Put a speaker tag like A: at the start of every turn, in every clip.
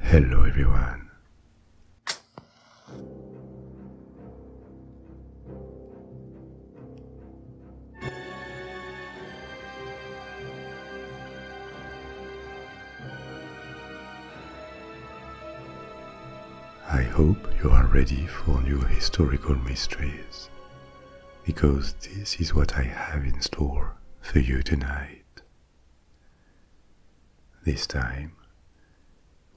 A: Hello everyone. I hope you are ready for new historical mysteries because this is what I have in store for you tonight. This time,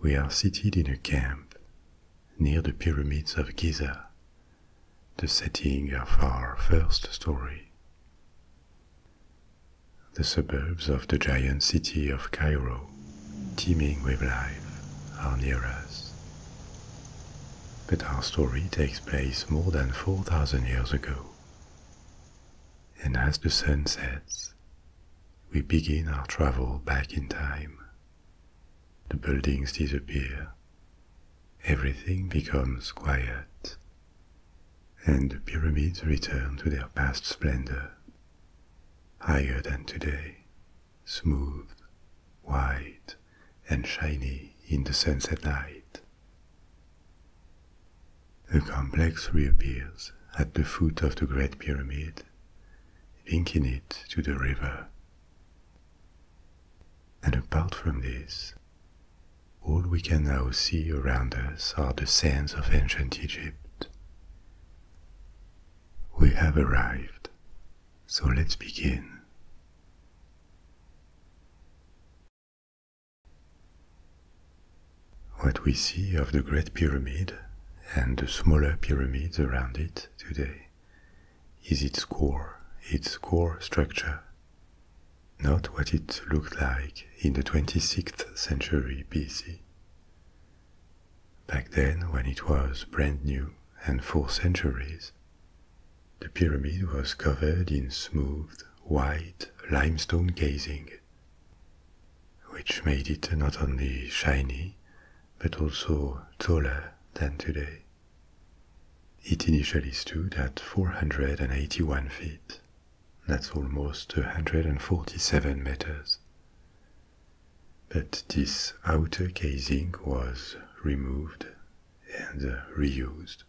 A: we are seated in a camp near the pyramids of Giza, the setting of our first story. The suburbs of the giant city of Cairo, teeming with life, are near us but our story takes place more than 4,000 years ago. And as the sun sets, we begin our travel back in time. The buildings disappear, everything becomes quiet, and the pyramids return to their past splendor, higher than today, smooth, wide, and shiny in the sunset light. The complex reappears at the foot of the Great Pyramid, linking it to the river. And apart from this, all we can now see around us are the sands of ancient Egypt. We have arrived, so let's begin. What we see of the Great Pyramid and the smaller pyramids around it today is its core, its core structure, not what it looked like in the 26th century BC. Back then, when it was brand new and for centuries, the pyramid was covered in smooth, white limestone casing, which made it not only shiny, but also taller than today. It initially stood at 481 feet. That's almost 147 meters. But this outer casing was removed and uh, reused,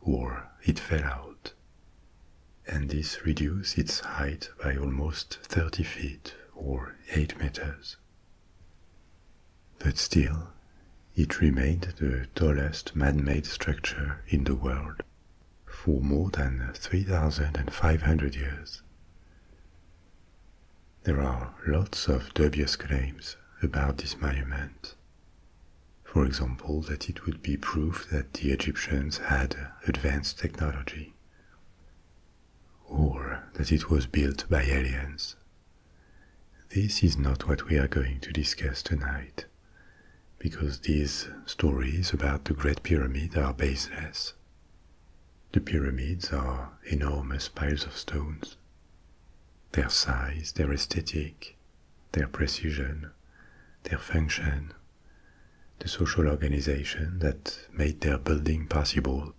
A: or it fell out. And this reduced its height by almost 30 feet or 8 meters. But still, it remained the tallest man-made structure in the world for more than 3,500 years. There are lots of dubious claims about this monument. For example, that it would be proof that the Egyptians had advanced technology, or that it was built by aliens. This is not what we are going to discuss tonight, because these stories about the Great Pyramid are baseless. The pyramids are enormous piles of stones. Their size, their aesthetic, their precision, their function, the social organization that made their building possible.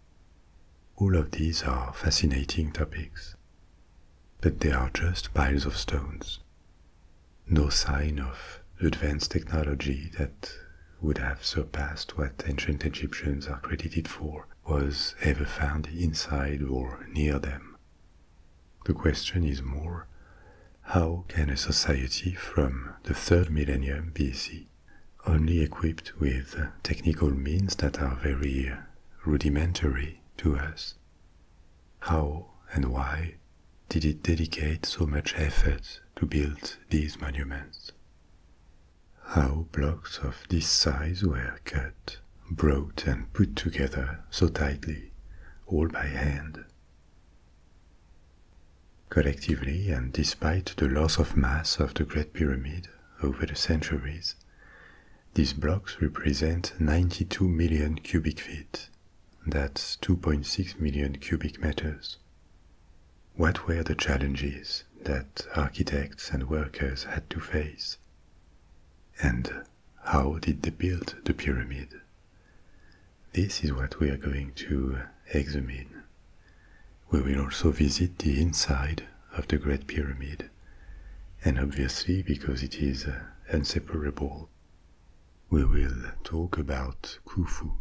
A: All of these are fascinating topics, but they are just piles of stones. No sign of advanced technology that would have surpassed what ancient Egyptians are credited for was ever found inside or near them. The question is more how can a society from the third millennium BC, only equipped with technical means that are very rudimentary to us, how and why did it dedicate so much effort to build these monuments? How blocks of this size were cut brought and put together so tightly, all by hand. Collectively, and despite the loss of mass of the Great Pyramid over the centuries, these blocks represent 92 million cubic feet. That's 2.6 million cubic meters. What were the challenges that architects and workers had to face? And how did they build the pyramid? This is what we are going to examine. We will also visit the inside of the Great Pyramid, and obviously, because it is uh, inseparable, we will talk about Khufu,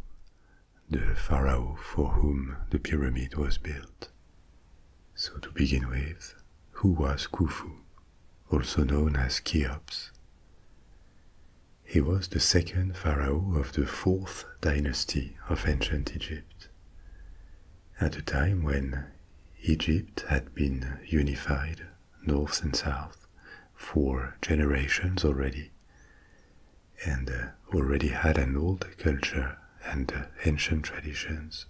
A: the pharaoh for whom the pyramid was built. So, to begin with, who was Khufu also known as Cheops. He was the second pharaoh of the fourth dynasty of ancient Egypt, at a time when Egypt had been unified, north and south, for generations already, and uh, already had an old culture and uh, ancient traditions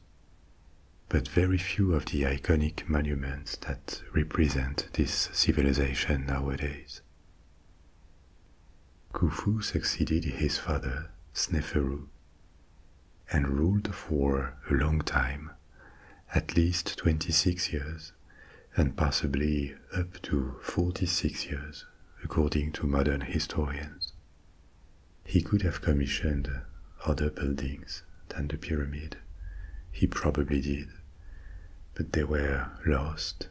A: but very few of the iconic monuments that represent this civilization nowadays. Khufu succeeded his father, Sneferu, and ruled for a long time, at least 26 years, and possibly up to 46 years, according to modern historians. He could have commissioned other buildings than the pyramid. He probably did. But they were lost,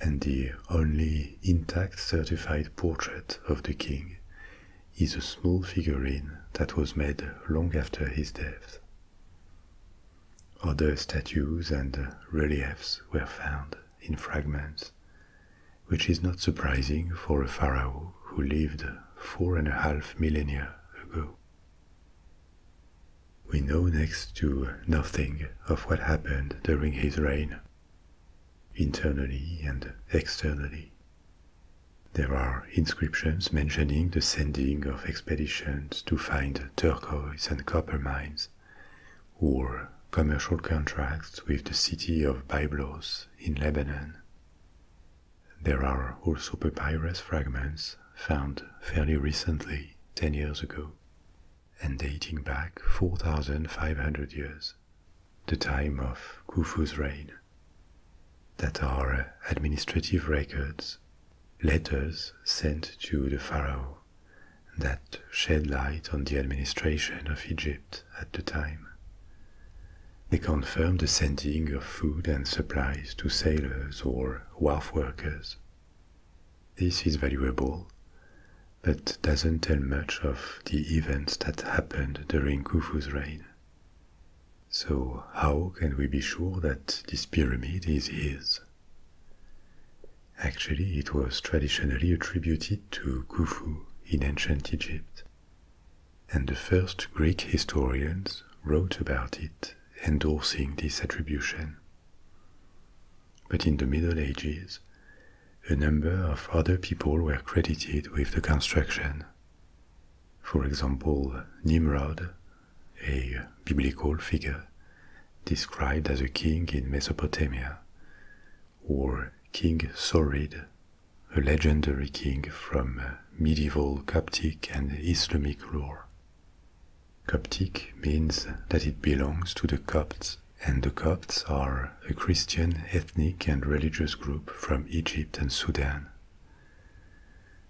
A: and the only intact certified portrait of the king is a small figurine that was made long after his death. Other statues and reliefs were found in fragments, which is not surprising for a pharaoh who lived four and a half millennia we know next to nothing of what happened during his reign, internally and externally. There are inscriptions mentioning the sending of expeditions to find turquoise and copper mines, or commercial contracts with the city of Byblos in Lebanon. There are also papyrus fragments found fairly recently, 10 years ago, and dating back 4,500 years, the time of Khufu's reign, that are administrative records, letters sent to the pharaoh that shed light on the administration of Egypt at the time. They confirm the sending of food and supplies to sailors or wharf workers. This is valuable, but doesn't tell much of the events that happened during Khufu's reign. So, how can we be sure that this pyramid is his? Actually, it was traditionally attributed to Khufu in ancient Egypt, and the first Greek historians wrote about it, endorsing this attribution. But in the Middle Ages, a number of other people were credited with the construction. For example, Nimrod, a biblical figure described as a king in Mesopotamia, or King Sorid a legendary king from uh, medieval Coptic and Islamic lore. Coptic means that it belongs to the Copts, and the Copts are a Christian ethnic and religious group from Egypt and Sudan.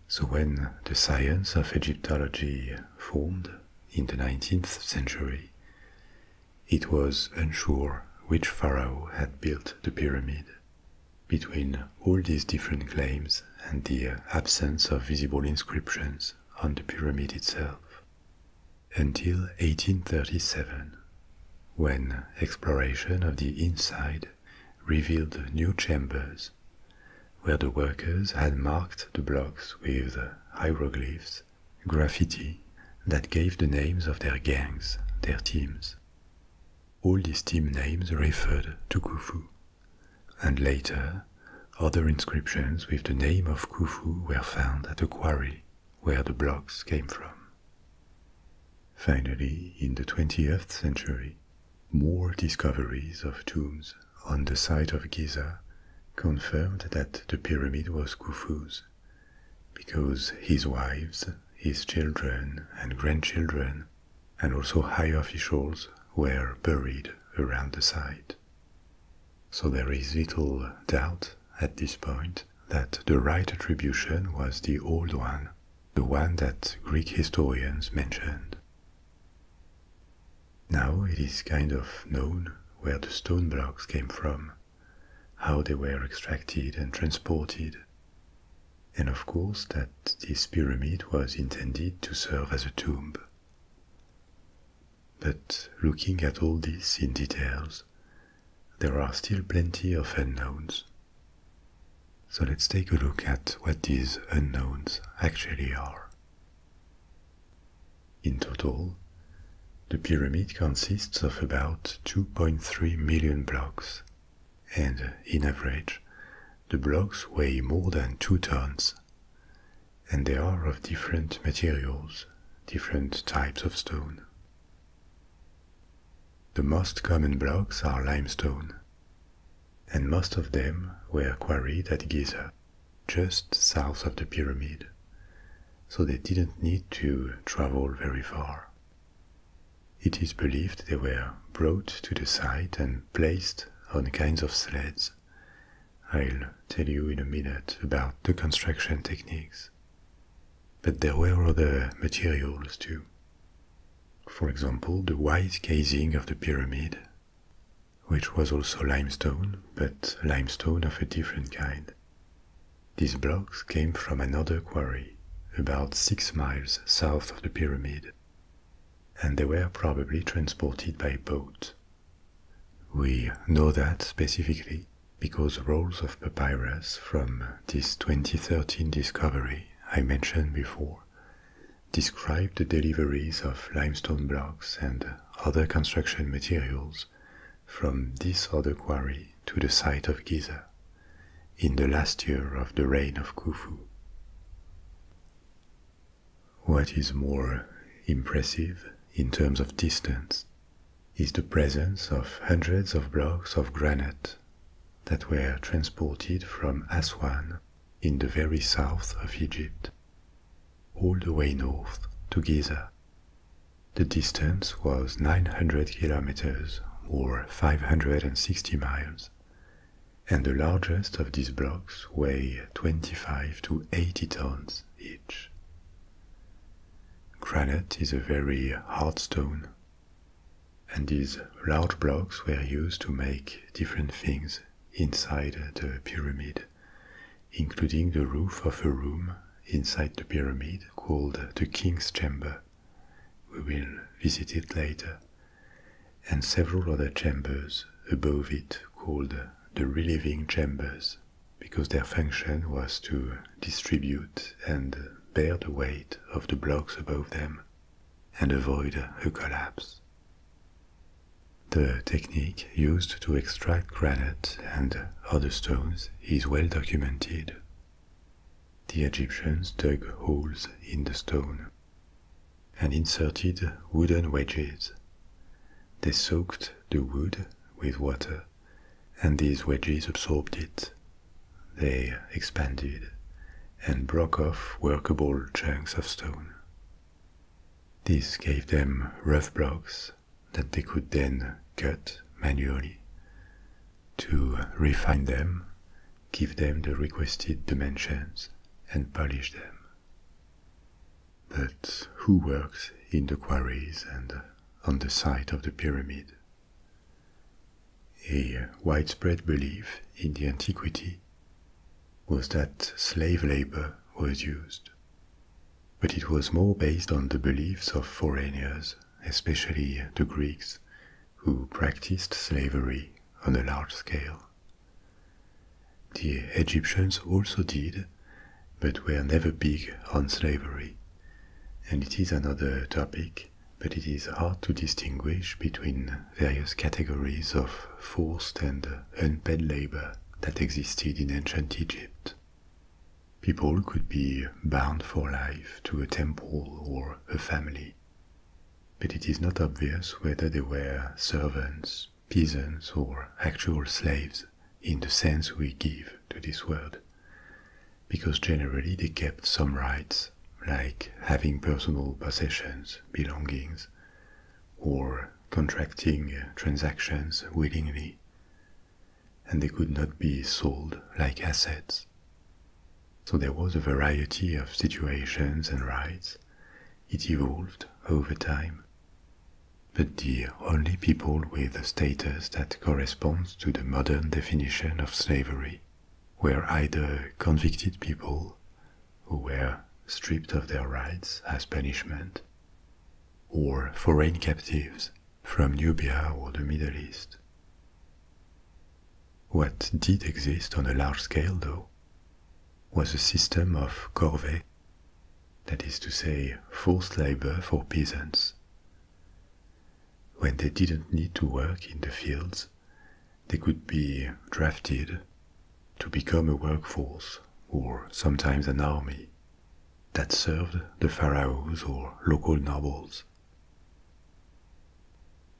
A: So when the science of Egyptology formed in the 19th century, it was unsure which pharaoh had built the pyramid between all these different claims and the uh, absence of visible inscriptions on the pyramid itself until 1837, when exploration of the inside revealed new chambers where the workers had marked the blocks with hieroglyphs, graffiti that gave the names of their gangs, their teams all these team names referred to Khufu, and later other inscriptions with the name of Khufu were found at the quarry where the blocks came from. Finally, in the 20th century, more discoveries of tombs on the site of Giza confirmed that the pyramid was Khufu's, because his wives, his children, and grandchildren and also high officials were buried around the site. So there is little doubt at this point that the right attribution was the old one, the one that Greek historians mentioned. Now it is kind of known where the stone blocks came from, how they were extracted and transported, and of course that this pyramid was intended to serve as a tomb. But looking at all this in details, there are still plenty of unknowns. So let's take a look at what these unknowns actually are. In total, the pyramid consists of about 2.3 million blocks, and in average, the blocks weigh more than two tons, and they are of different materials, different types of stone. The most common blocks are limestone, and most of them were quarried at Giza, just south of the pyramid, so they didn't need to travel very far. It is believed they were brought to the site and placed on kinds of sleds. I'll tell you in a minute about the construction techniques. But there were other materials too. For example, the white casing of the pyramid, which was also limestone, but limestone of a different kind. These blocks came from another quarry, about six miles south of the pyramid and they were probably transported by boat. We know that specifically because rolls of papyrus from this 2013 discovery I mentioned before describe the deliveries of limestone blocks and other construction materials from this other quarry to the site of Giza in the last year of the reign of Khufu. What is more impressive in terms of distance is the presence of hundreds of blocks of granite that were transported from Aswan in the very south of Egypt, all the way north to Giza. The distance was 900 kilometers or 560 miles, and the largest of these blocks weigh 25 to 80 tons each. Granite is a very hard stone, and these large blocks were used to make different things inside the pyramid, including the roof of a room inside the pyramid called the king's chamber we will visit it later, and several other chambers above it called the relieving chambers, because their function was to distribute and bear the weight of the blocks above them and avoid a collapse. The technique used to extract granite and other stones is well documented. The Egyptians dug holes in the stone and inserted wooden wedges. They soaked the wood with water, and these wedges absorbed it. They expanded and broke off workable chunks of stone. This gave them rough blocks that they could then cut manually. To refine them, give them the requested dimensions, and polish them. But who works in the quarries and on the site of the pyramid? A widespread belief in the antiquity was that slave labor was used, but it was more based on the beliefs of foreigners, especially the Greeks, who practiced slavery on a large scale. The Egyptians also did, but were never big on slavery, and it is another topic, but it is hard to distinguish between various categories of forced and unpaid labor that existed in ancient Egypt. People could be bound for life to a temple or a family, but it is not obvious whether they were servants, peasants, or actual slaves in the sense we give to this word, because generally they kept some rights, like having personal possessions, belongings, or contracting transactions willingly, and they could not be sold like assets. So there was a variety of situations and rights. It evolved over time. But the only people with a status that corresponds to the modern definition of slavery were either convicted people who were stripped of their rights as punishment, or foreign captives from Nubia or the Middle East. What did exist on a large scale, though, was a system of corvée, that is to say, forced labor for peasants. When they didn't need to work in the fields, they could be drafted to become a workforce or sometimes an army that served the pharaohs or local nobles.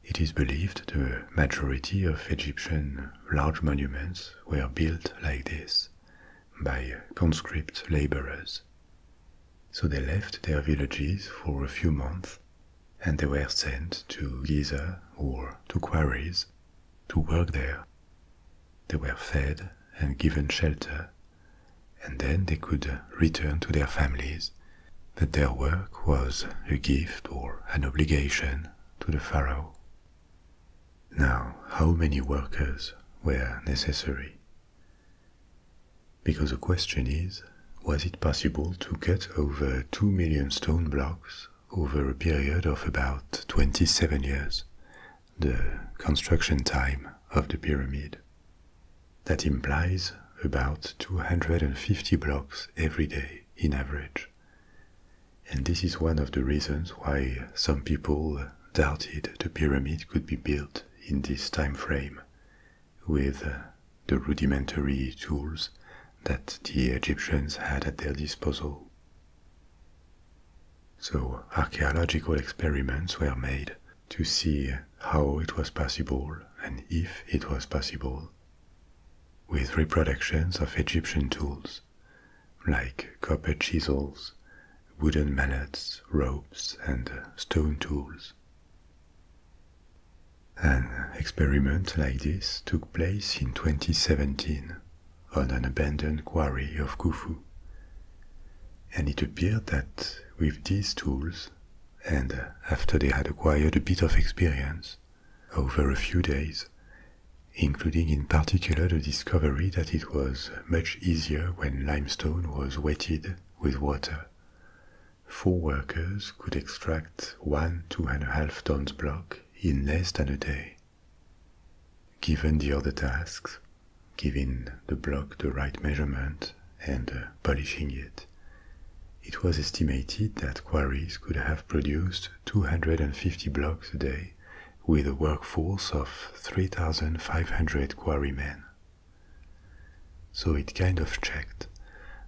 A: It is believed the majority of Egyptian large monuments were built like this by conscript laborers. So they left their villages for a few months and they were sent to Giza or to quarries to work there. They were fed and given shelter, and then they could return to their families that their work was a gift or an obligation to the pharaoh. Now, how many workers were necessary? Because the question is, was it possible to cut over 2 million stone blocks over a period of about 27 years, the construction time of the pyramid? That implies about 250 blocks every day in average. And this is one of the reasons why some people doubted the pyramid could be built in this time frame with uh, the rudimentary tools that the Egyptians had at their disposal. So, archaeological experiments were made to see how it was possible and if it was possible with reproductions of Egyptian tools like copper chisels, wooden mallets, ropes, and stone tools. An experiment like this took place in 2017 on an abandoned quarry of Khufu, and it appeared that with these tools, and after they had acquired a bit of experience, over a few days, including in particular the discovery that it was much easier when limestone was wetted with water. Four workers could extract one two and a half tons block in less than a day. Given the other tasks, giving the block the right measurement and uh, polishing it, it was estimated that quarries could have produced 250 blocks a day with a workforce of 3,500 quarrymen. So it kind of checked,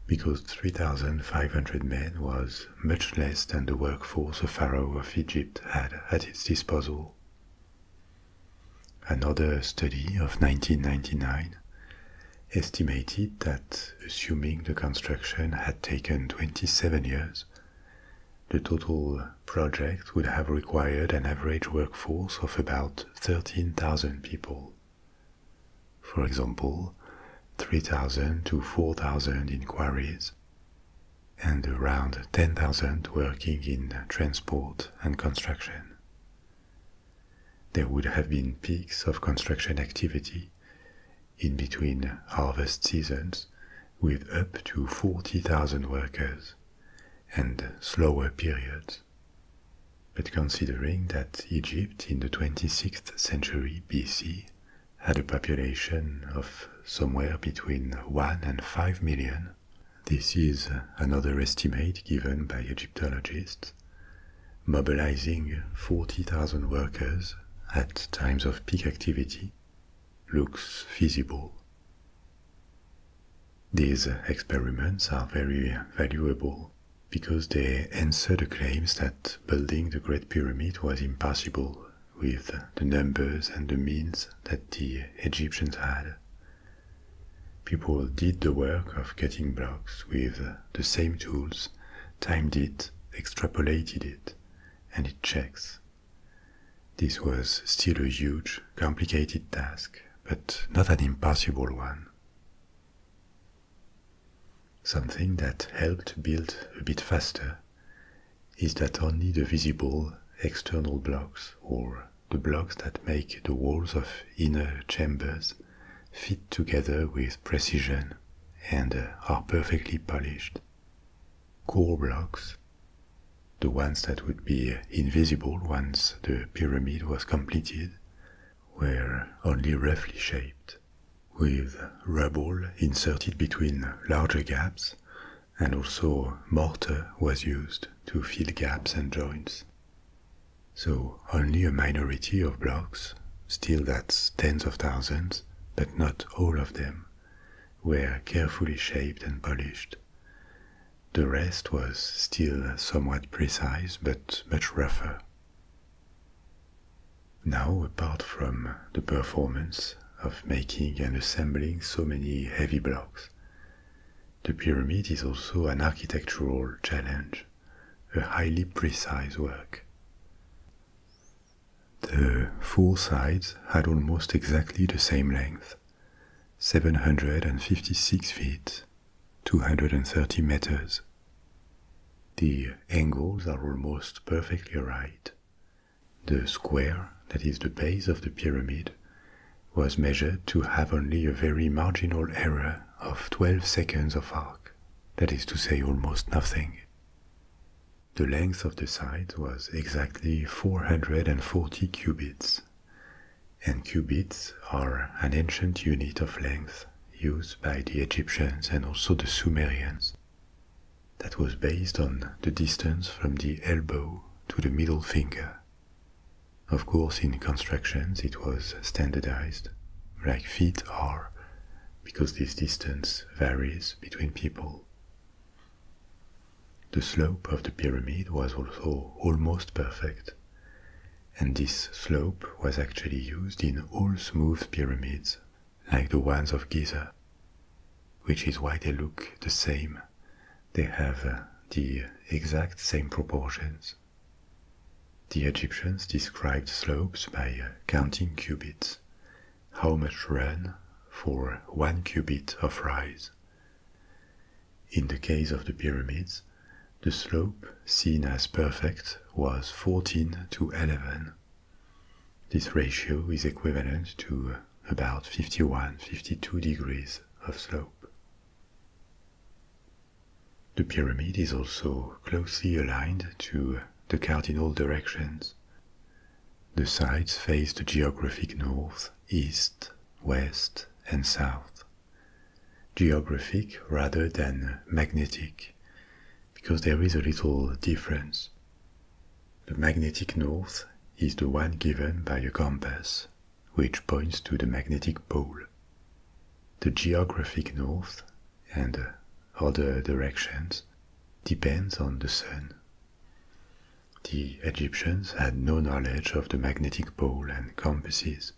A: because 3,500 men was much less than the workforce the Pharaoh of Egypt had at its disposal. Another study of 1999 estimated that, assuming the construction had taken 27 years, the total project would have required an average workforce of about 13,000 people. For example, 3,000 to 4,000 in quarries, and around 10,000 working in transport and construction. There would have been peaks of construction activity, in between harvest seasons with up to 40,000 workers and slower periods. But considering that Egypt in the 26th century BC had a population of somewhere between 1 and 5 million, this is another estimate given by Egyptologists mobilizing 40,000 workers at times of peak activity, looks feasible. These experiments are very valuable because they answer the claims that building the Great Pyramid was impossible with the numbers and the means that the Egyptians had. People did the work of cutting blocks with the same tools timed it, extrapolated it, and it checks. This was still a huge, complicated task, but not an impossible one. Something that helped build a bit faster is that only the visible external blocks, or the blocks that make the walls of inner chambers, fit together with precision and uh, are perfectly polished. Core blocks, the ones that would be uh, invisible once the pyramid was completed, were only roughly shaped, with rubble inserted between larger gaps, and also mortar was used to fill gaps and joints. So only a minority of blocks, still that's tens of thousands, but not all of them, were carefully shaped and polished. The rest was still somewhat precise but much rougher. Now, apart from the performance of making and assembling so many heavy blocks, the pyramid is also an architectural challenge, a highly precise work. The four sides had almost exactly the same length 756 feet, 230 meters. The angles are almost perfectly right. The square, that is the base of the pyramid, was measured to have only a very marginal error of 12 seconds of arc that is to say, almost nothing. The length of the sides was exactly 440 cubits, and cubits are an ancient unit of length used by the Egyptians and also the Sumerians. That was based on the distance from the elbow to the middle finger. Of course, in constructions it was standardized, like feet are, because this distance varies between people. The slope of the pyramid was also almost perfect, and this slope was actually used in all smooth pyramids like the ones of Giza, which is why they look the same. They have uh, the exact same proportions. The Egyptians described slopes by uh, counting cubits, how much run for one cubit of rise. In the case of the pyramids, the slope seen as perfect was 14 to 11. This ratio is equivalent to about 51 52 degrees of slope. The pyramid is also closely aligned to the cardinal directions. The sides face the geographic north, east, west, and south. Geographic rather than magnetic, because there is a little difference. The magnetic north is the one given by a compass, which points to the magnetic pole the geographic north and uh, other directions depends on the sun. The Egyptians had no knowledge of the magnetic pole and compasses,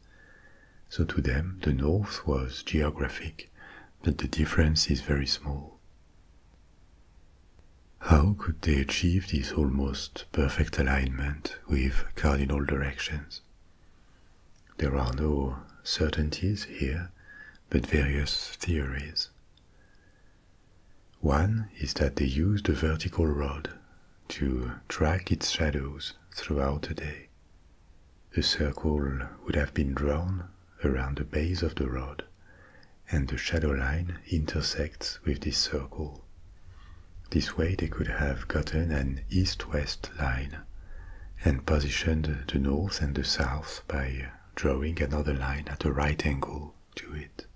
A: so to them the north was geographic, but the difference is very small. How could they achieve this almost perfect alignment with cardinal directions? There are no certainties here, but various theories. One is that they used a vertical rod to track its shadows throughout the day. A circle would have been drawn around the base of the rod, and the shadow line intersects with this circle. This way, they could have gotten an east west line and positioned the north and the south by drawing another line at a right angle to it.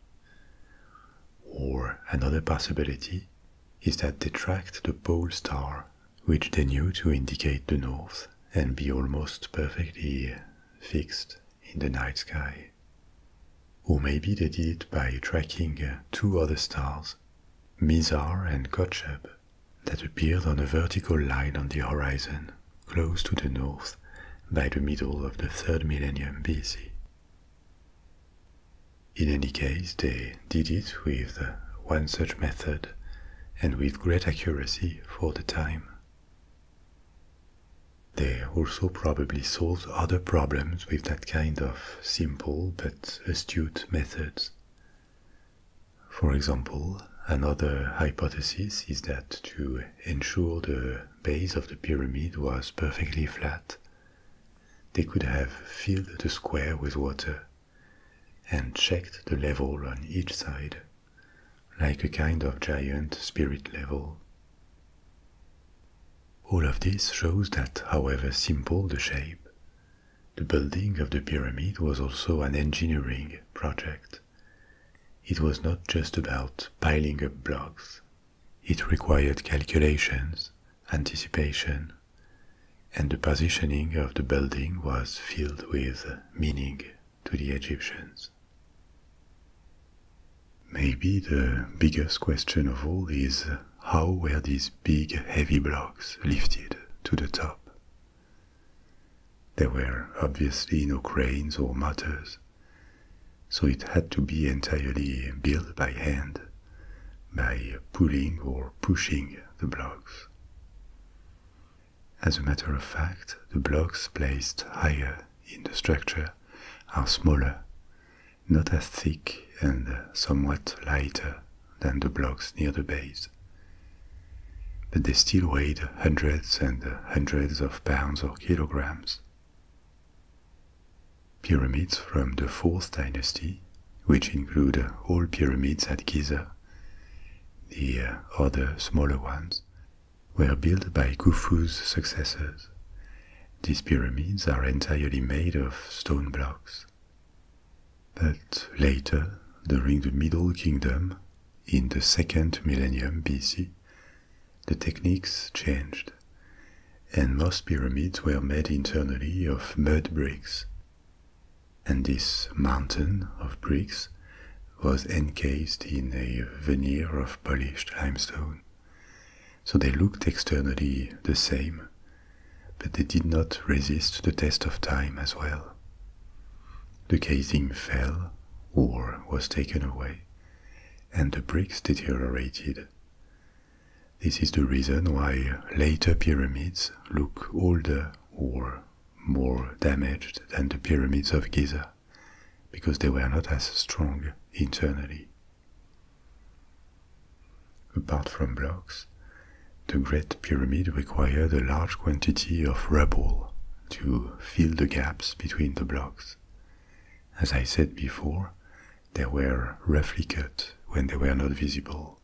A: Or another possibility is that they tracked the pole star, which they knew to indicate the north and be almost perfectly fixed in the night sky. Or maybe they did it by tracking two other stars, Mizar and Kocheb, that appeared on a vertical line on the horizon, close to the north, by the middle of the third millennium BC. In any case, they did it with uh, one such method and with great accuracy for the time. They also probably solved other problems with that kind of simple but astute methods, for example, another hypothesis is that to ensure the base of the pyramid was perfectly flat, they could have filled the square with water and checked the level on each side, like a kind of giant spirit level. All of this shows that, however simple the shape, the building of the pyramid was also an engineering project. It was not just about piling up blocks. It required calculations, anticipation, and the positioning of the building was filled with meaning to the Egyptians. Maybe the biggest question of all is how were these big heavy blocks lifted to the top? There were obviously no cranes or motors, so it had to be entirely built by hand, by pulling or pushing the blocks. As a matter of fact, the blocks placed higher in the structure are smaller, not as thick and somewhat lighter than the blocks near the base. But they still weighed hundreds and hundreds of pounds or kilograms. Pyramids from the Fourth Dynasty, which include all pyramids at Giza, the uh, other smaller ones, were built by Khufu's successors. These pyramids are entirely made of stone blocks. But later, during the Middle Kingdom, in the second millennium BC, the techniques changed, and most pyramids were made internally of mud bricks. And this mountain of bricks was encased in a veneer of polished limestone. So they looked externally the same, but they did not resist the test of time as well. The casing fell or was taken away, and the bricks deteriorated. This is the reason why later pyramids look older or more damaged than the pyramids of Giza, because they were not as strong internally. Apart from blocks, the Great Pyramid required a large quantity of rubble to fill the gaps between the blocks. As I said before, they were roughly cut when they were not visible.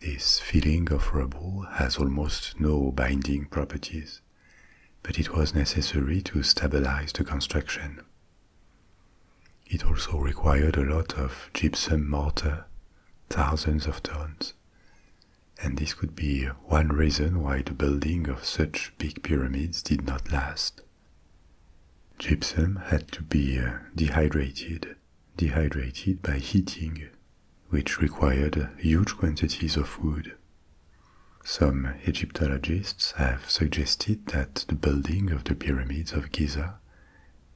A: This filling of rubble has almost no binding properties, but it was necessary to stabilize the construction. It also required a lot of gypsum mortar, thousands of tons, and this could be one reason why the building of such big pyramids did not last. Gypsum had to be uh, dehydrated, dehydrated by heating, which required huge quantities of wood. Some Egyptologists have suggested that the building of the pyramids of Giza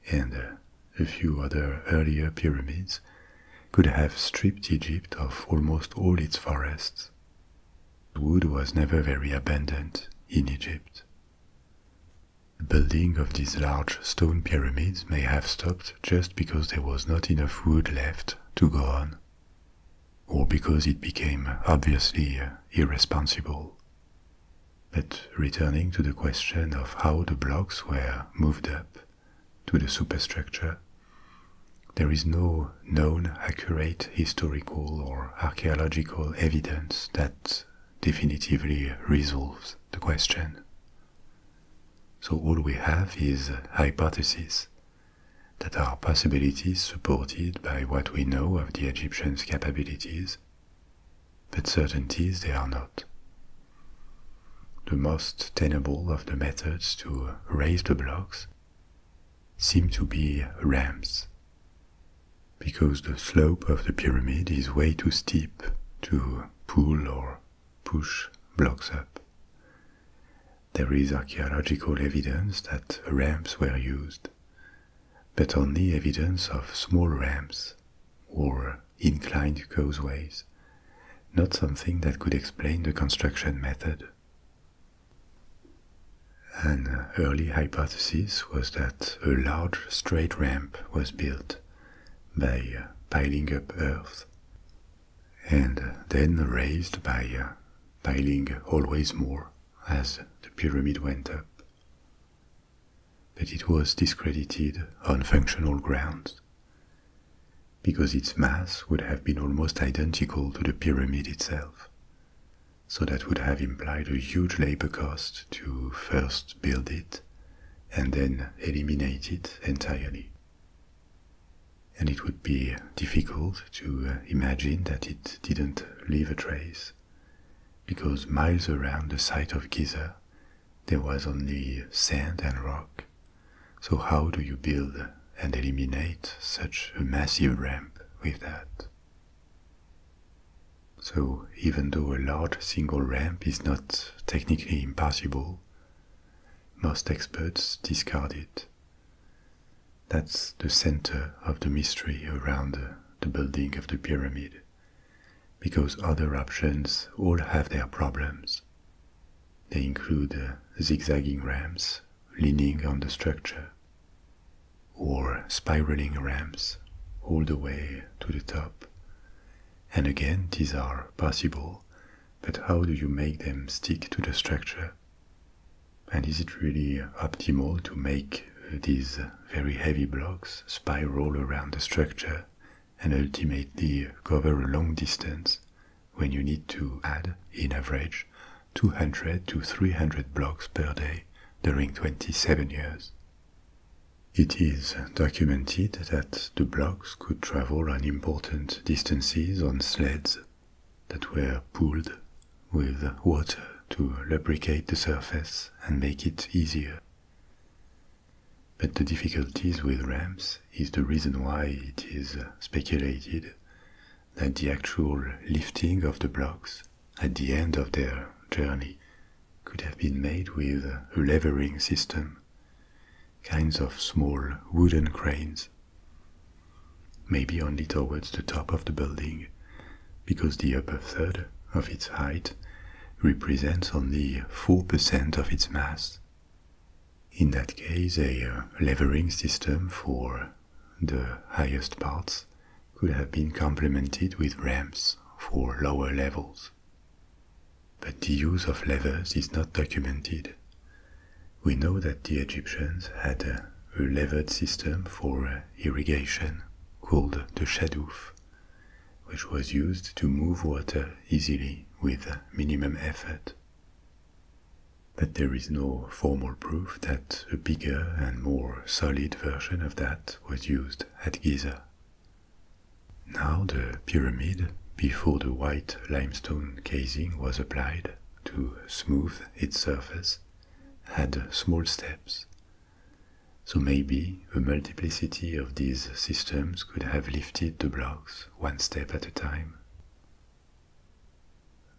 A: and uh, a few other earlier pyramids, could have stripped Egypt of almost all its forests. Wood was never very abundant in Egypt. The building of these large stone pyramids may have stopped just because there was not enough wood left to go on, or because it became obviously uh, irresponsible. But returning to the question of how the blocks were moved up, to the superstructure. There is no known accurate historical or archaeological evidence that definitively resolves the question. So all we have is hypotheses that are possibilities supported by what we know of the Egyptians' capabilities, but certainties they are not. The most tenable of the methods to raise the blocks seem to be ramps, because the slope of the pyramid is way too steep to pull or push blocks up. There is archaeological evidence that ramps were used, but only evidence of small ramps or inclined causeways, not something that could explain the construction method. An early hypothesis was that a large straight ramp was built by piling up earth and then raised by uh, piling always more as the pyramid went up. But it was discredited on functional grounds because its mass would have been almost identical to the pyramid itself. So that would have implied a huge labor cost to first build it and then eliminate it entirely. And it would be difficult to uh, imagine that it didn't leave a trace, because miles around the site of Giza there was only sand and rock so, how do you build and eliminate such a massive ramp with that? So, even though a large single ramp is not technically impossible, most experts discard it. That's the center of the mystery around the building of the pyramid, because other options all have their problems. They include uh, zigzagging ramps leaning on the structure, or spiraling ramps all the way to the top. And again, these are possible, but how do you make them stick to the structure? And is it really optimal to make uh, these very heavy blocks spiral around the structure and ultimately cover a long distance when you need to add, in average, 200 to 300 blocks per day during 27 years. It is documented that the blocks could travel unimportant distances on sleds that were pulled with water to lubricate the surface and make it easier. But the difficulties with ramps is the reason why it is speculated that the actual lifting of the blocks at the end of their journey could have been made with a levering system, kinds of small wooden cranes, maybe only towards the top of the building, because the upper third of its height represents only 4% of its mass in that case, a uh, levering system for the highest parts could have been complemented with ramps for lower levels. But the use of levers is not documented. We know that the Egyptians had a levered system for uh, irrigation called the shadouf, which was used to move water easily with minimum effort. But there is no formal proof that a bigger and more solid version of that was used at Giza. Now the pyramid, before the white limestone casing was applied to smooth its surface, had small steps. So maybe the multiplicity of these systems could have lifted the blocks one step at a time.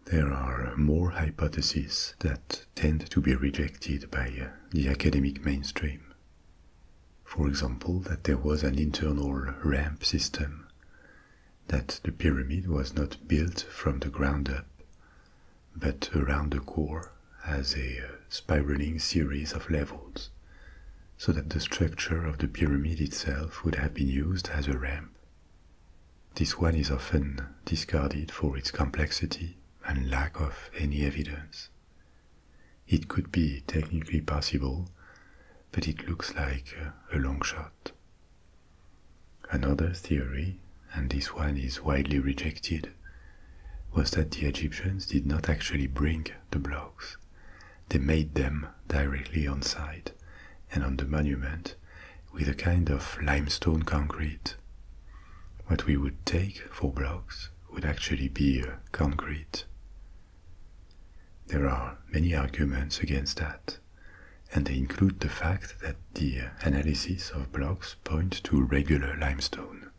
A: There are more hypotheses that tend to be rejected by uh, the academic mainstream. For example, that there was an internal ramp system, that the pyramid was not built from the ground up, but around the core as a uh, spiraling series of levels so that the structure of the pyramid itself would have been used as a ramp. This one is often discarded for its complexity and lack of any evidence. It could be technically possible, but it looks like a long shot. Another theory, and this one is widely rejected, was that the Egyptians did not actually bring the blocks, they made them directly on site and on the monument with a kind of limestone concrete. What we would take for blocks would actually be uh, concrete. There are many arguments against that, and they include the fact that the uh, analysis of blocks point to regular limestone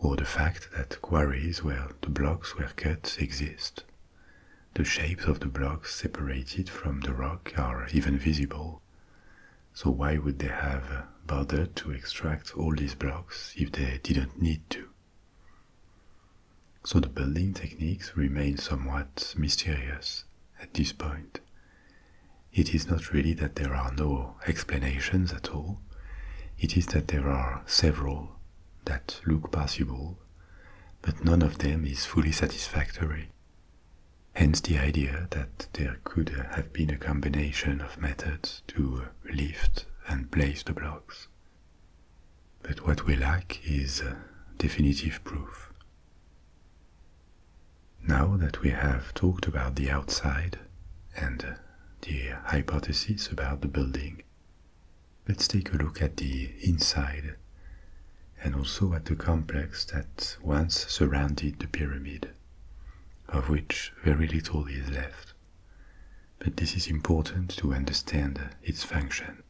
A: or the fact that quarries where the blocks were cut exist. The shapes of the blocks separated from the rock are even visible, so why would they have bothered to extract all these blocks if they didn't need to? So the building techniques remain somewhat mysterious at this point. It is not really that there are no explanations at all, it is that there are several that look possible, but none of them is fully satisfactory. Hence the idea that there could have been a combination of methods to lift and place the blocks. But what we lack is uh, definitive proof. Now that we have talked about the outside and uh, the hypothesis about the building, Let's take a look at the inside and also at the complex that once surrounded the pyramid, of which very little is left. But this is important to understand its function.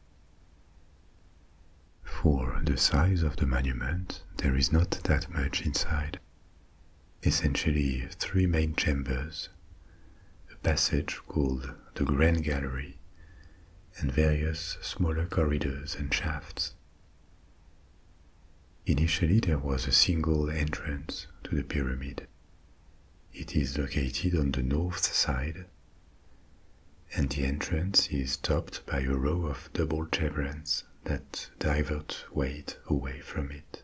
A: For the size of the monument, there is not that much inside. Essentially, three main chambers a passage called the Grand Gallery, and various smaller corridors and shafts. Initially, there was a single entrance to the pyramid. It is located on the north side, and the entrance is topped by a row of double chevrons that divert weight away from it.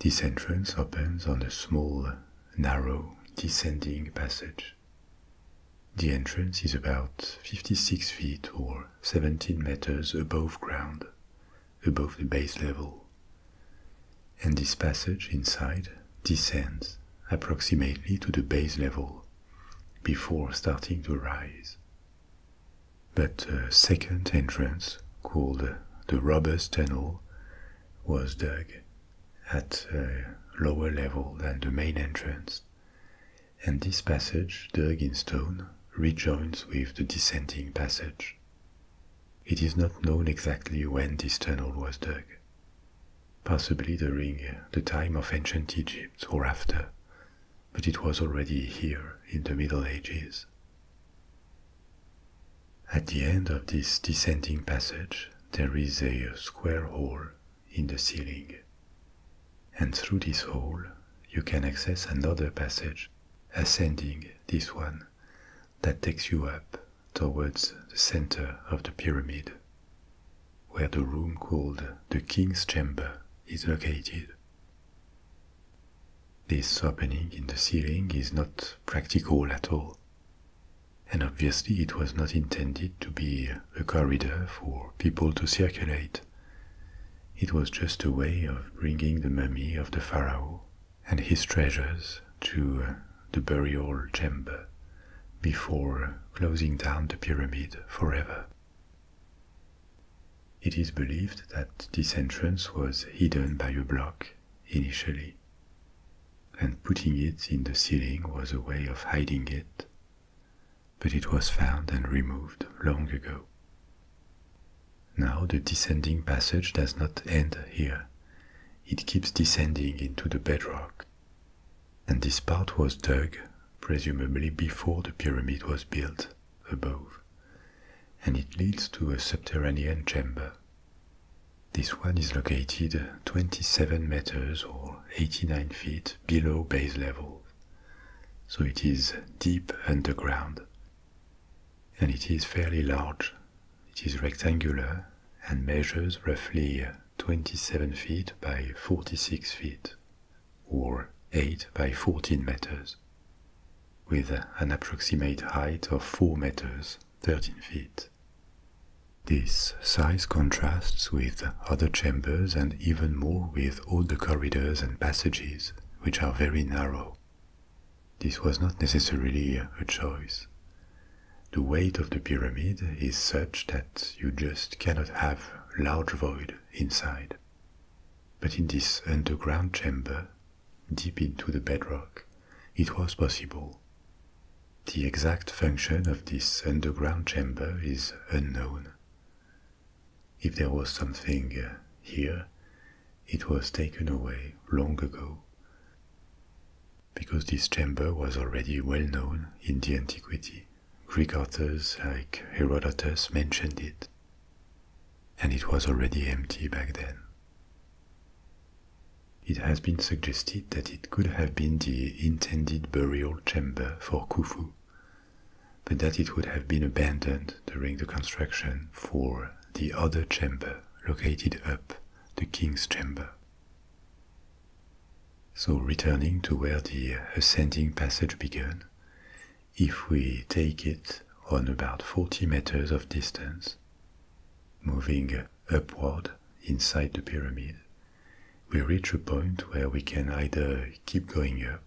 A: This entrance opens on a small, narrow, descending passage. The entrance is about 56 feet or 17 meters above ground, above the base level, and this passage inside descends approximately to the base level before starting to rise. But a uh, second entrance, called the Robbers' Tunnel, was dug at a uh, lower level than the main entrance, and this passage, dug in stone, rejoins with the descending passage. It is not known exactly when this tunnel was dug, possibly during uh, the time of ancient Egypt or after, but it was already here in the Middle Ages. At the end of this descending passage, there is a square hole in the ceiling. And through this hole, you can access another passage, ascending this one, that takes you up towards the center of the pyramid, where the room called the King's Chamber is located. This opening in the ceiling is not practical at all, and obviously it was not intended to be a corridor for people to circulate. It was just a way of bringing the mummy of the pharaoh and his treasures to uh, the burial chamber before closing down the pyramid forever. It is believed that this entrance was hidden by a block initially, and putting it in the ceiling was a way of hiding it, but it was found and removed long ago. Now the descending passage does not end here. It keeps descending into the bedrock. And this part was dug, presumably before the pyramid was built, above and it leads to a subterranean chamber. This one is located 27 meters or 89 feet below base level, so it is deep underground. And it is fairly large. It is rectangular and measures roughly 27 feet by 46 feet, or 8 by 14 meters with an approximate height of 4 meters 13 feet. This size contrasts with other chambers and even more with all the corridors and passages, which are very narrow. This was not necessarily a choice. The weight of the pyramid is such that you just cannot have large void inside. But in this underground chamber, deep into the bedrock, it was possible. The exact function of this underground chamber is unknown. If there was something uh, here, it was taken away long ago. Because this chamber was already well known in the antiquity, Greek authors like Herodotus mentioned it and it was already empty back then. It has been suggested that it could have been the intended burial chamber for Khufu, but that it would have been abandoned during the construction for the other chamber located up the king's chamber. So returning to where the ascending passage began, if we take it on about 40 meters of distance, Moving upward inside the pyramid, we reach a point where we can either keep going up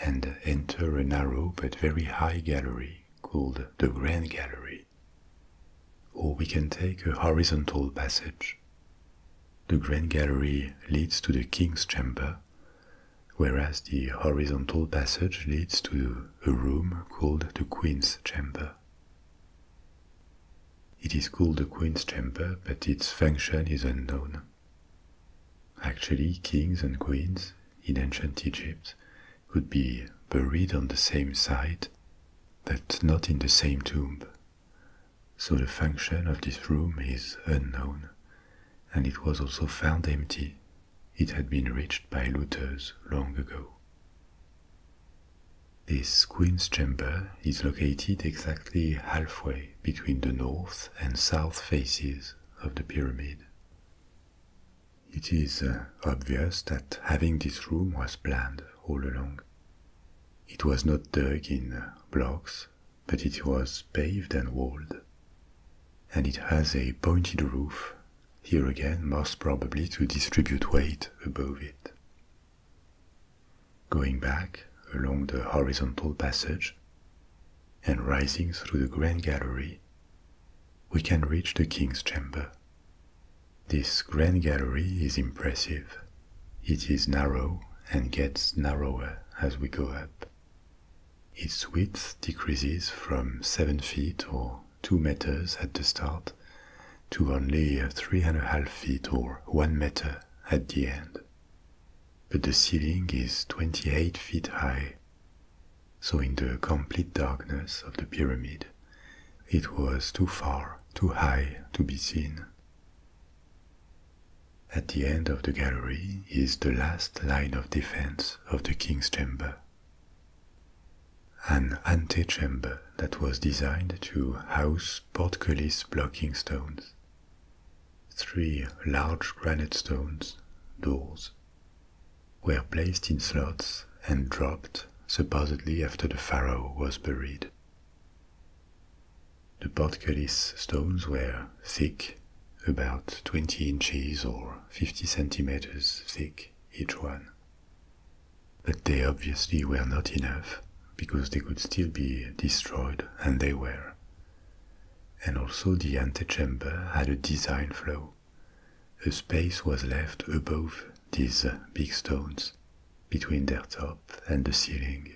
A: and enter a narrow but very high gallery called the Grand Gallery, or we can take a horizontal passage. The Grand Gallery leads to the King's Chamber, whereas the horizontal passage leads to a room called the Queen's Chamber. It is called the Queen's Chamber, but its function is unknown. Actually, kings and queens in ancient Egypt could be buried on the same site, but not in the same tomb. So the function of this room is unknown, and it was also found empty it had been reached by looters long ago. This queen's chamber is located exactly halfway between the north and south faces of the pyramid. It is uh, obvious that having this room was planned all along. It was not dug in blocks, but it was paved and walled, and it has a pointed roof here again most probably to distribute weight above it. Going back along the horizontal passage and rising through the grand gallery, we can reach the king's chamber. This grand gallery is impressive. It is narrow and gets narrower as we go up. Its width decreases from 7 feet or 2 meters at the start to only 3.5 feet or 1 meter at the end. But the ceiling is 28 feet high, so in the complete darkness of the pyramid, it was too far, too high to be seen. At the end of the gallery is the last line of defense of the king's chamber an antechamber that was designed to house portcullis blocking stones, three large granite stones, doors, were placed in slots and dropped supposedly after the pharaoh was buried. The portcullis stones were thick, about 20 inches or 50 centimeters thick each one. But they obviously were not enough, because they could still be destroyed, and they were. And also the antechamber had a design flaw. A space was left above these big stones, between their top and the ceiling.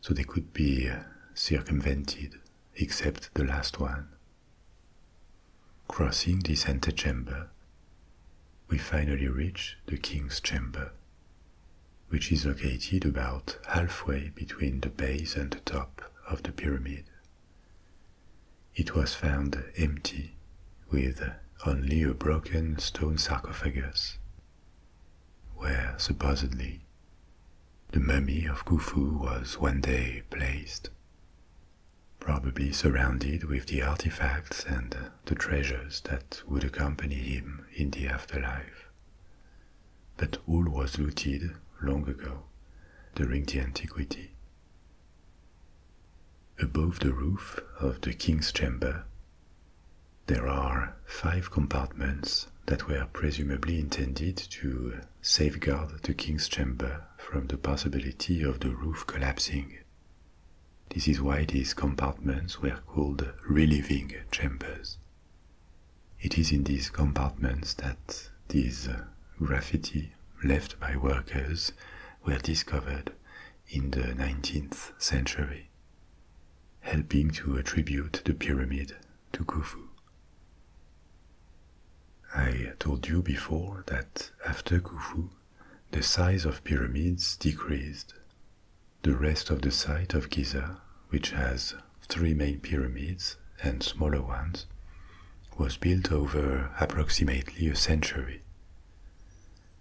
A: So they could be circumvented, except the last one, Crossing this antechamber, we finally reach the king's chamber, which is located about halfway between the base and the top of the pyramid. It was found empty, with only a broken stone sarcophagus, where supposedly the mummy of Khufu was one day placed probably surrounded with the artifacts and uh, the treasures that would accompany him in the afterlife. But all was looted long ago, during the antiquity. Above the roof of the king's chamber, there are five compartments that were presumably intended to safeguard the king's chamber from the possibility of the roof collapsing. This is why these compartments were called relieving chambers. It is in these compartments that these uh, graffiti left by workers were discovered in the 19th century, helping to attribute the pyramid to Khufu. I told you before that after Khufu, the size of pyramids decreased. The rest of the site of Giza, which has three main pyramids and smaller ones, was built over approximately a century.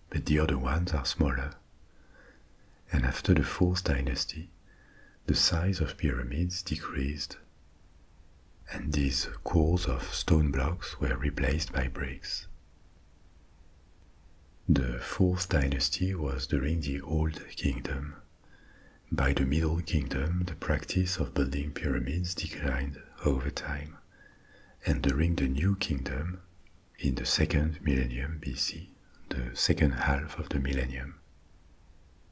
A: But the other ones are smaller. And after the Fourth Dynasty, the size of pyramids decreased, and these cores of stone blocks were replaced by bricks. The fourth dynasty was during the Old Kingdom. By the Middle Kingdom, the practice of building pyramids declined over time, and during the New Kingdom, in the second millennium BC, the second half of the millennium,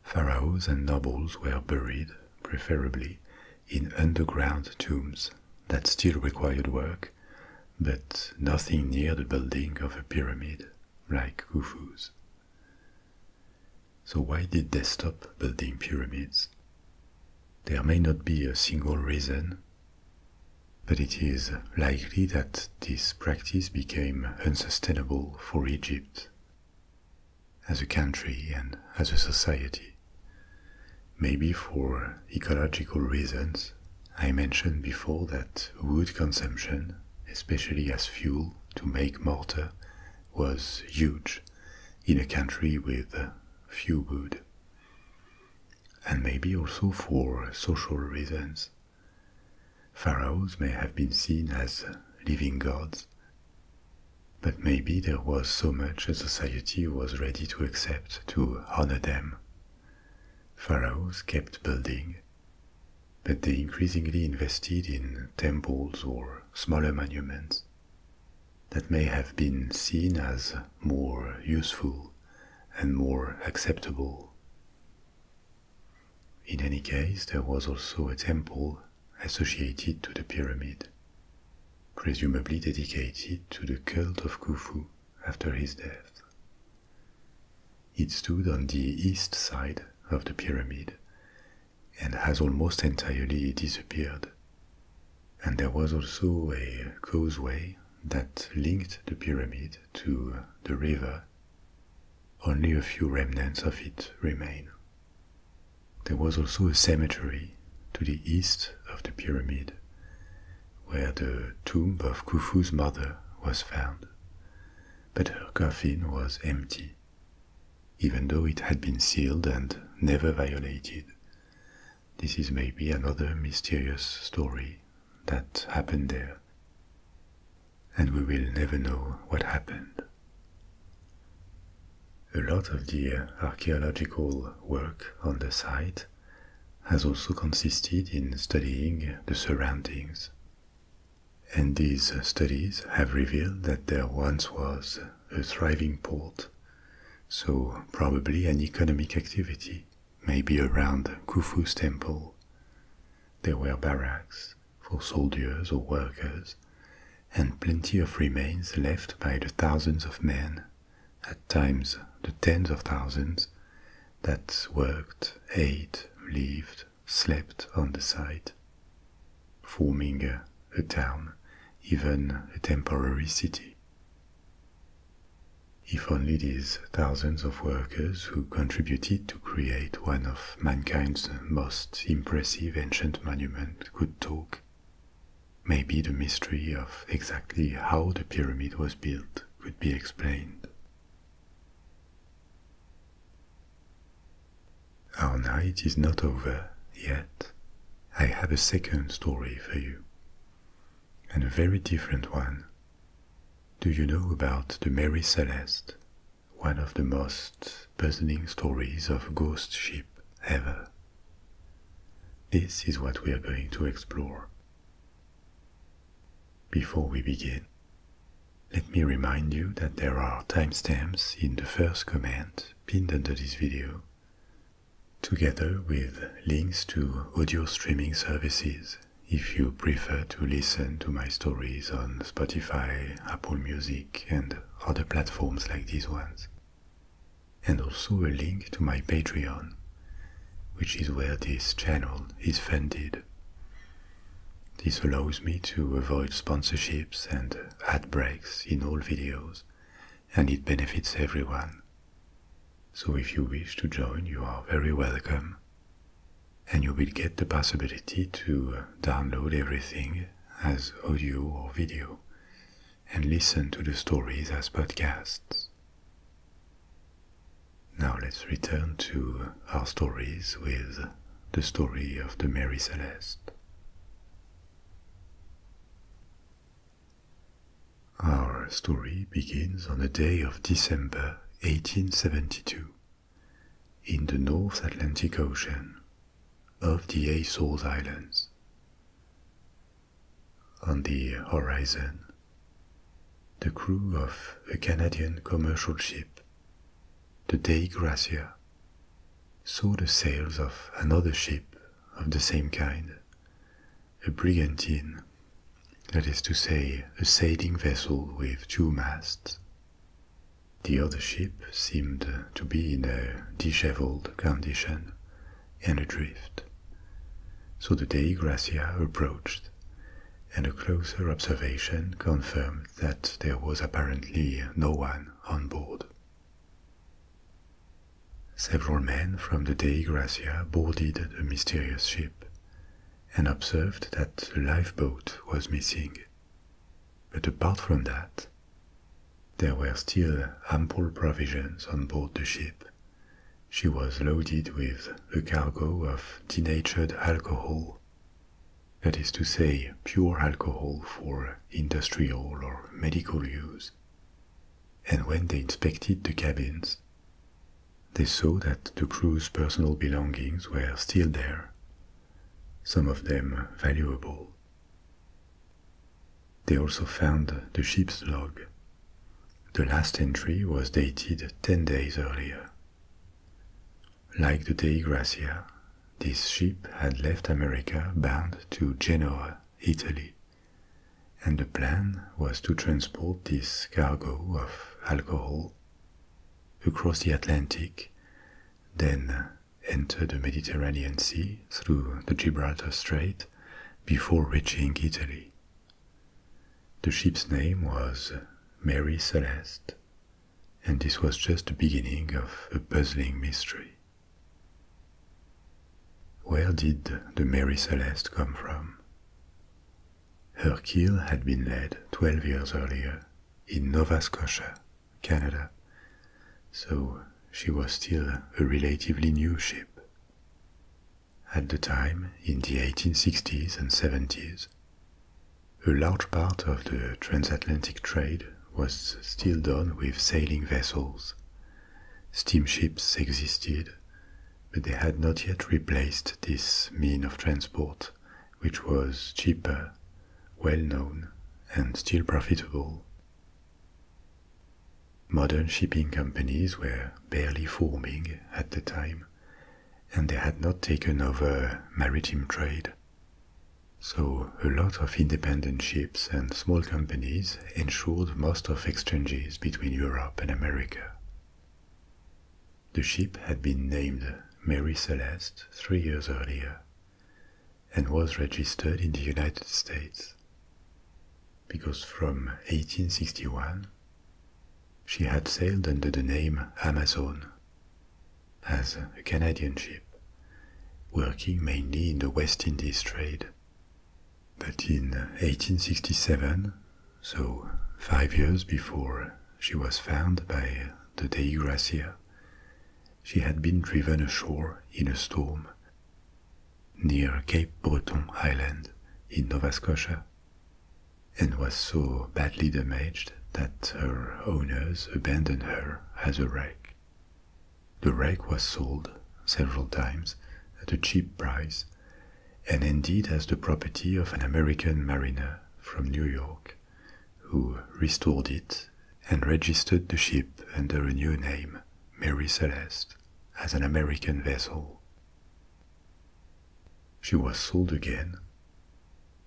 A: pharaohs and nobles were buried, preferably, in underground tombs that still required work, but nothing near the building of a pyramid like Khufu's. So, why did they stop building pyramids? There may not be a single reason, but it is likely that this practice became unsustainable for Egypt as a country and as a society. Maybe for ecological reasons, I mentioned before that wood consumption, especially as fuel to make mortar, was huge in a country with few wood. And maybe also for social reasons. Pharaohs may have been seen as living gods, but maybe there was so much a society was ready to accept to honor them. Pharaohs kept building, but they increasingly invested in temples or smaller monuments that may have been seen as more useful and more acceptable. In any case, there was also a temple associated to the pyramid, presumably dedicated to the cult of Khufu after his death. It stood on the east side of the pyramid and has almost entirely disappeared. And there was also a causeway that linked the pyramid to the river. Only a few remnants of it remain. There was also a cemetery to the east of the pyramid, where the tomb of Khufu's mother was found, but her coffin was empty, even though it had been sealed and never violated. This is maybe another mysterious story that happened there, and we will never know what happened a lot of the archaeological work on the site has also consisted in studying the surroundings. And these studies have revealed that there once was a thriving port, so probably an economic activity, may be around Khufu's temple. There were barracks for soldiers or workers, and plenty of remains left by the thousands of men, at times the tens of thousands, that worked, ate, lived, slept on the site, forming a, town, even a temporary city. If only these thousands of workers who contributed to create one of mankind's most impressive ancient monuments could talk, Maybe the mystery of exactly how the pyramid was built could be explained. Our night is not over yet. I have a second story for you, and a very different one. Do you know about the Mary Celeste, one of the most puzzling stories of ghost ship ever? This is what we are going to explore. Before we begin, let me remind you that there are timestamps in the first comment pinned under this video, together with links to audio streaming services if you prefer to listen to my stories on Spotify, Apple Music, and other platforms like these ones and also a link to my Patreon, which is where this channel is funded. This allows me to avoid sponsorships and ad breaks in all videos, and it benefits everyone. So if you wish to join, you are very welcome, and you will get the possibility to download everything as audio or video and listen to the stories as podcasts. Now let's return to our stories with the story of the Mary Celeste. Our story begins on the day of December 1872 in the North Atlantic Ocean of the Azores Islands, on the horizon, the crew of a Canadian commercial ship, the De Gracia, saw the sails of another ship of the same kind, a brigantine, that is to say, a sailing vessel with two masts. The other ship seemed to be in a disheveled condition, and adrift. So the day Gracia approached, and a closer observation confirmed that there was apparently no one on board. Several men from the Dei Gracia boarded the mysterious ship and observed that the lifeboat was missing. But apart from that, there were still ample provisions on board the ship. She was loaded with a cargo of denatured alcohol, that is to say, pure alcohol for industrial or medical use. And when they inspected the cabins, they saw that the crew's personal belongings were still there, some of them valuable. They also found the ship's log. The last entry was dated 10 days earlier. Like the De Gracia, this ship had left America bound to Genoa, Italy, and the plan was to transport this cargo of alcohol across the Atlantic, then enter the Mediterranean Sea through the Gibraltar Strait before reaching Italy. The ship's name was Mary Celeste, and this was just the beginning of a puzzling mystery. Where did the Mary Celeste come from? Her keel had been laid 12 years earlier in Nova Scotia, Canada, so she was still a relatively new ship. At the time, in the 1860s and 70s, a large part of the transatlantic trade was still done with sailing vessels. Steamships existed, but they had not yet replaced this mean of transport, which was cheaper, well known, and still profitable. Modern shipping companies were barely forming at the time, and they had not taken over maritime trade. So, a lot of independent ships and small companies ensured most of exchanges between Europe and America. The ship had been named Mary Celeste three years earlier, and was registered in the United States. Because from 1861, she had sailed under the name Amazon as a Canadian ship, working mainly in the West Indies trade. But in 1867, so five years before she was found by the Dei Gracia, she had been driven ashore in a storm near Cape Breton Island in Nova Scotia, and was so badly damaged that her owners abandoned her as a wreck. The wreck was sold several times at a cheap price and indeed as the property of an American mariner from New York who restored it and registered the ship under a new name Mary Celeste as an American vessel. She was sold again,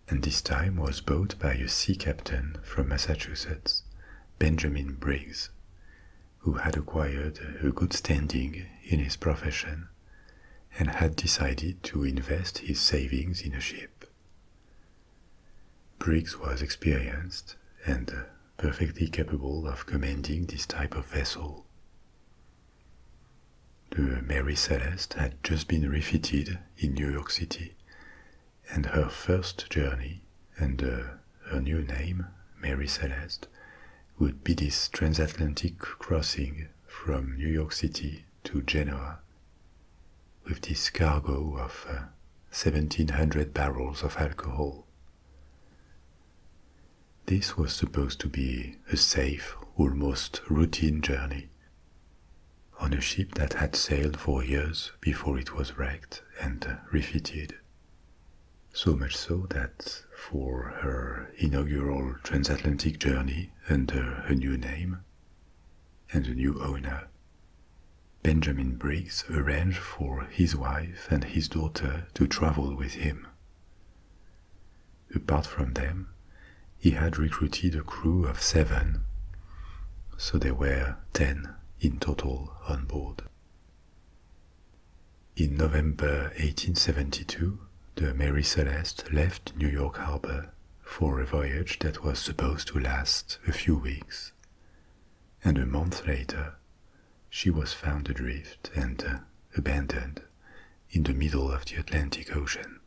A: and this time was bought by a sea captain from Massachusetts, Benjamin Briggs, who had acquired a good standing in his profession and had decided to invest his savings in a ship. Briggs was experienced and perfectly capable of commanding this type of vessel. The Mary Celeste had just been refitted in New York City, and her first journey under her new name, Mary Celeste, would be this transatlantic crossing from New York City to Genoa with this cargo of 1700 uh, barrels of alcohol this was supposed to be a safe, almost routine journey. On a ship that had sailed for years before it was wrecked and refitted. So much so that for her inaugural transatlantic journey under her new name and a new owner, Benjamin Briggs arranged for his wife and his daughter to travel with him. Apart from them, he had recruited a crew of seven, so there were ten in total on board. In November 1872, the Mary Celeste left New York harbor for a voyage that was supposed to last a few weeks, and a month later, she was found adrift and uh, abandoned in the middle of the Atlantic Ocean.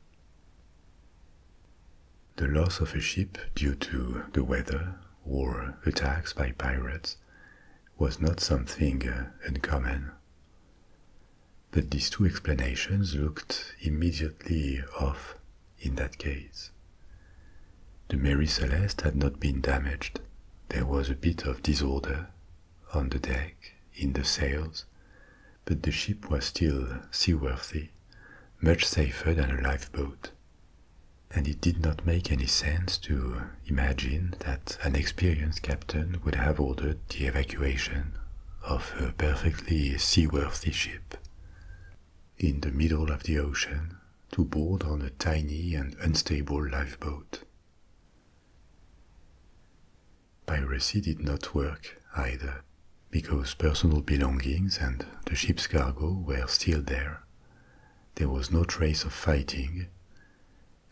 A: The loss of a ship due to the weather or attacks by pirates was not something uh, uncommon. But these two explanations looked immediately off in that case. The Mary Celeste had not been damaged. There was a bit of disorder on the deck, in the sails, but the ship was still seaworthy, much safer than a lifeboat. And it did not make any sense to imagine that an experienced captain would have ordered the evacuation of a perfectly seaworthy ship. In the middle of the ocean, to board on a tiny and unstable lifeboat. Piracy did not work either, because personal belongings and the ship's cargo were still there. There was no trace of fighting,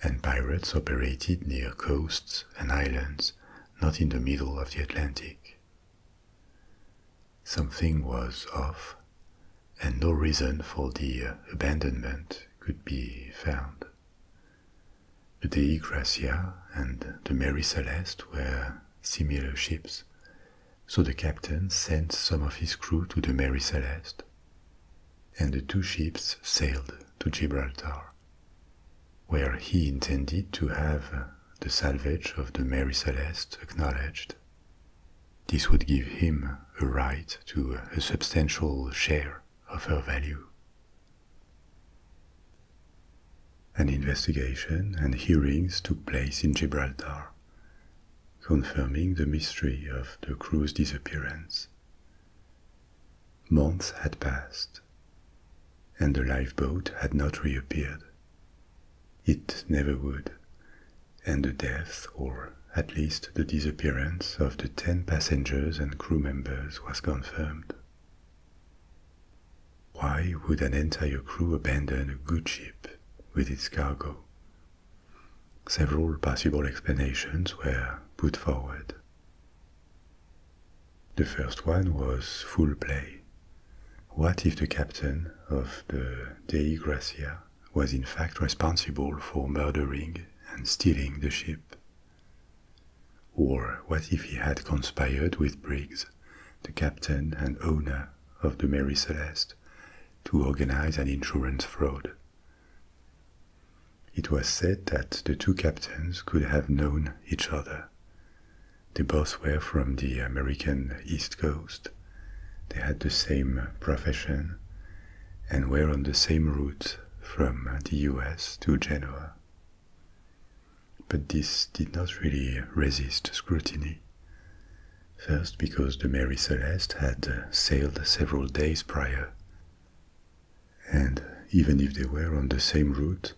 A: and pirates operated near coasts and islands, not in the middle of the Atlantic something was off, and no reason for the abandonment could be found. The Dei Gracia and the Mary Celeste were similar ships, so the captain sent some of his crew to the Mary Celeste, and the two ships sailed to Gibraltar, where he intended to have the salvage of the Mary Celeste acknowledged this would give him a right to a substantial share of her value. An investigation and hearings took place in Gibraltar, confirming the mystery of the crew's disappearance. Months had passed, and the lifeboat had not reappeared. It never would, and the death, or at least the disappearance, of the 10 passengers and crew members was confirmed. Why would an entire crew abandon a good ship with its cargo? Several possible explanations were put forward. The first one was full play. What if the captain of the Dei Gracia was in fact responsible for murdering and stealing the ship. Or what if he had conspired with Briggs, the captain and owner of the Mary Celeste, to organize an insurance fraud? It was said that the two captains could have known each other. They both were from the American East Coast they had the same profession and were on the same route from the US to Genoa. But this did not really resist scrutiny. First, because the Mary Celeste had sailed several days prior. And even if they were on the same route,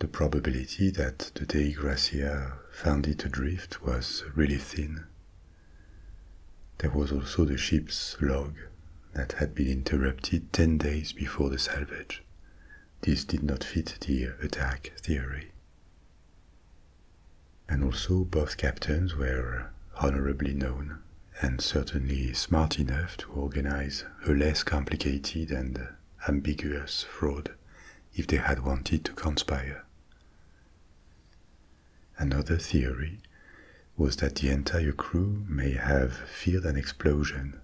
A: the probability that the Dei Gracia found it adrift was really thin. There was also the ship's log that had been interrupted 10 days before the salvage. This did not fit the attack theory. And also, both captains were honorably known and certainly smart enough to organize a less complicated and ambiguous fraud if they had wanted to conspire. Another theory was that the entire crew may have feared an explosion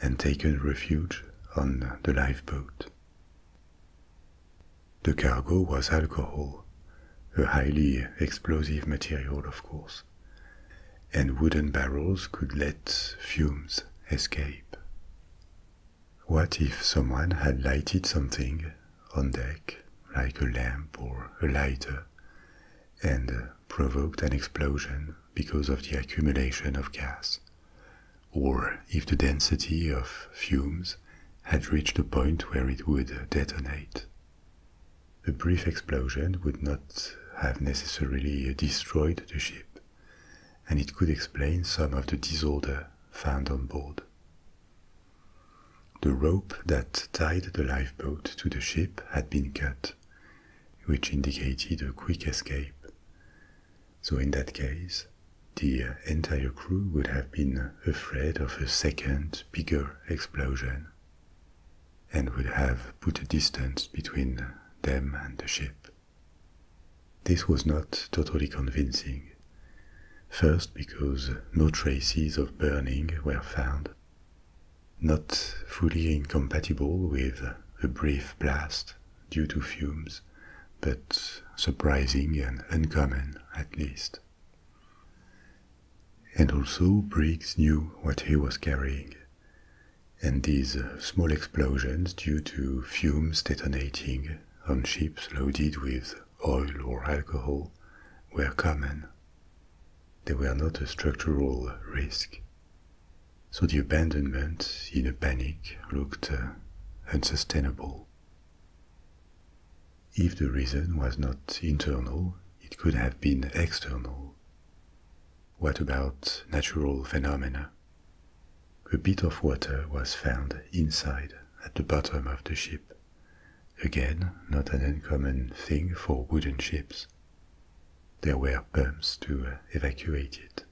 A: and taken refuge on the lifeboat. The cargo was alcohol, a highly explosive material, of course, and wooden barrels could let fumes escape. What if someone had lighted something on deck, like a lamp or a lighter, and uh, provoked an explosion because of the accumulation of gas, or if the density of fumes had reached a point where it would detonate. A brief explosion would not have necessarily destroyed the ship, and it could explain some of the disorder found on board. The rope that tied the lifeboat to the ship had been cut, which indicated a quick escape. So, in that case, the entire crew would have been afraid of a second, bigger explosion and would have put a distance between them and the ship. This was not totally convincing First, because no traces of burning were found, not fully incompatible with a brief blast due to fumes, but surprising and uncommon at least. And also, Briggs knew what he was carrying, and these small explosions due to fumes detonating on ships loaded with oil or alcohol, were common. They were not a structural risk. So the abandonment in a panic looked uh, unsustainable. If the reason was not internal, it could have been external. What about natural phenomena? A bit of water was found inside at the bottom of the ship. Again, not an uncommon thing for wooden ships. There were pumps to uh, evacuate it.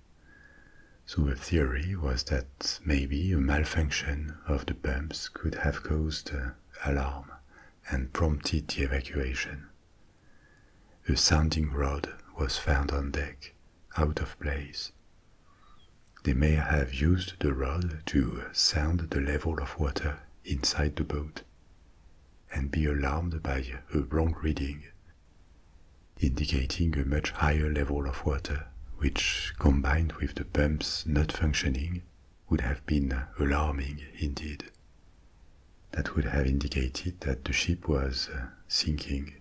A: So the theory was that maybe a malfunction of the pumps could have caused uh, alarm and prompted the evacuation. A sounding rod was found on deck, out of place, they may have used the rod to sound the level of water inside the boat and be alarmed by a wrong reading, indicating a much higher level of water, which combined with the pumps not functioning would have been alarming indeed. That would have indicated that the ship was sinking.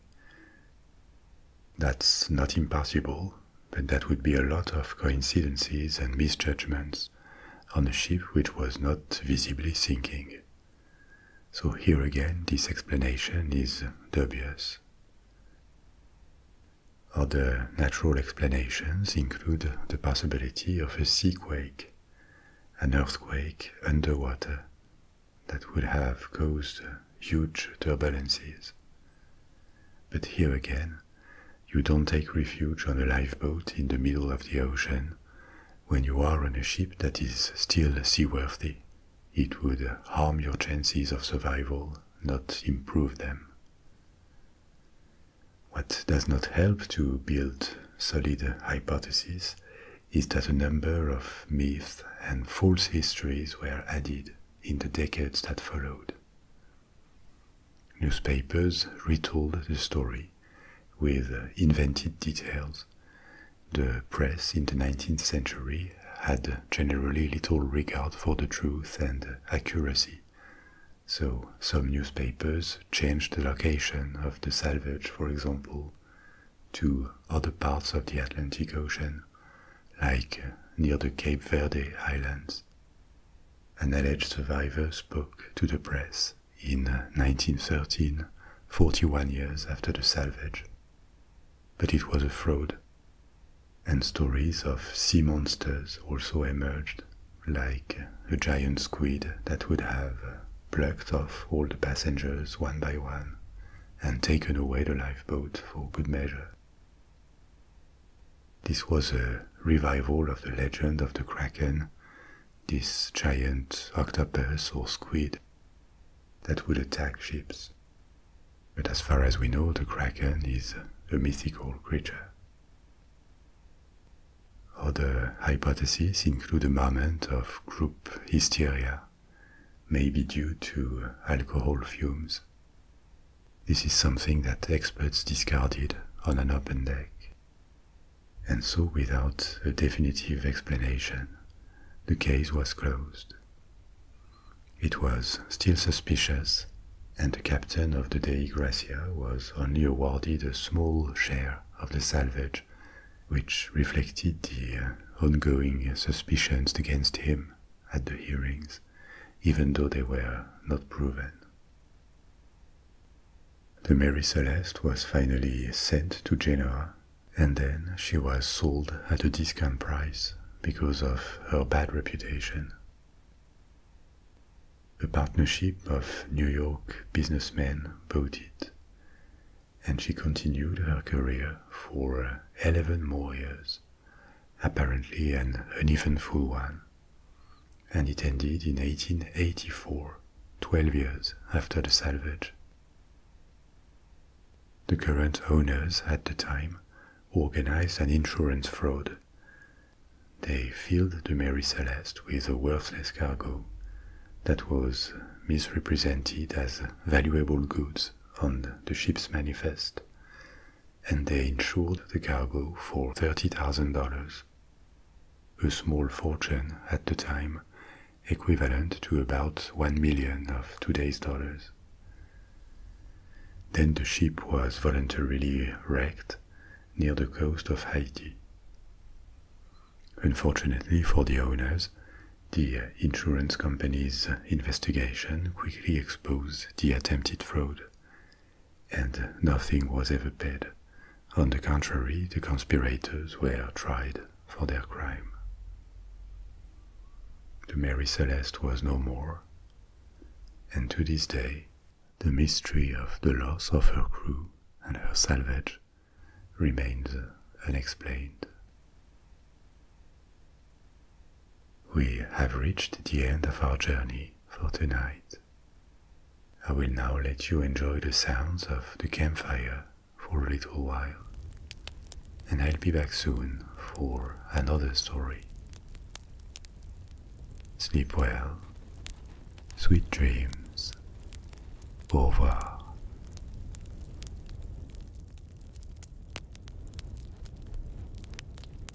A: That's not impossible but that would be a lot of coincidences and misjudgments on a ship which was not visibly sinking. So here again, this explanation is dubious. Other natural explanations include the possibility of a seaquake, an earthquake underwater that would have caused huge turbulences. But here again, you don't take refuge on a lifeboat in the middle of the ocean when you are on a ship that is still seaworthy. It would harm your chances of survival, not improve them. What does not help to build solid hypotheses is that a number of myths and false histories were added in the decades that followed. Newspapers retold the story with uh, invented details. The press in the 19th century had generally little regard for the truth and accuracy, so some newspapers changed the location of the salvage, for example, to other parts of the Atlantic Ocean, like uh, near the Cape Verde Islands. An alleged survivor spoke to the press in 1913, uh, 41 years after the salvage. But it was a fraud. And stories of sea monsters also emerged, like uh, a giant squid that would have uh, plucked off all the passengers one by one and taken away the lifeboat for good measure. This was a revival of the legend of the Kraken, this giant octopus or squid that would attack ships. But as far as we know, the Kraken is a mythical creature. Other hypotheses include a moment of group hysteria, maybe due to alcohol fumes this is something that experts discarded on an open deck. And so, without a definitive explanation, the case was closed. It was still suspicious, and the captain of the Dei Gracia was only awarded a small share of the salvage, which reflected the uh, ongoing suspicions against him at the hearings even though they were not proven. The Mary Celeste was finally sent to Genoa, and then she was sold at a discount price because of her bad reputation. A partnership of New York businessmen bought it, and she continued her career for 11 more years apparently an uneventful one, and it ended in 1884, 12 years after the salvage. The current owners at the time organized an insurance fraud. They filled the Mary Celeste with a worthless cargo that was misrepresented as valuable goods on the ship's manifest and they insured the cargo for $30,000, a small fortune at the time, equivalent to about 1 million of today's dollars. Then the ship was voluntarily wrecked near the coast of Haiti. Unfortunately for the owners, the insurance company's investigation quickly exposed the attempted fraud, and nothing was ever paid. On the contrary, the conspirators were tried for their crime. The Mary Celeste was no more, and to this day, the mystery of the loss of her crew and her salvage remains unexplained. We have reached the end of our journey for tonight. I will now let you enjoy the sounds of the campfire for a little while, and I'll be back soon for another story. Sleep well, sweet dreams, au revoir.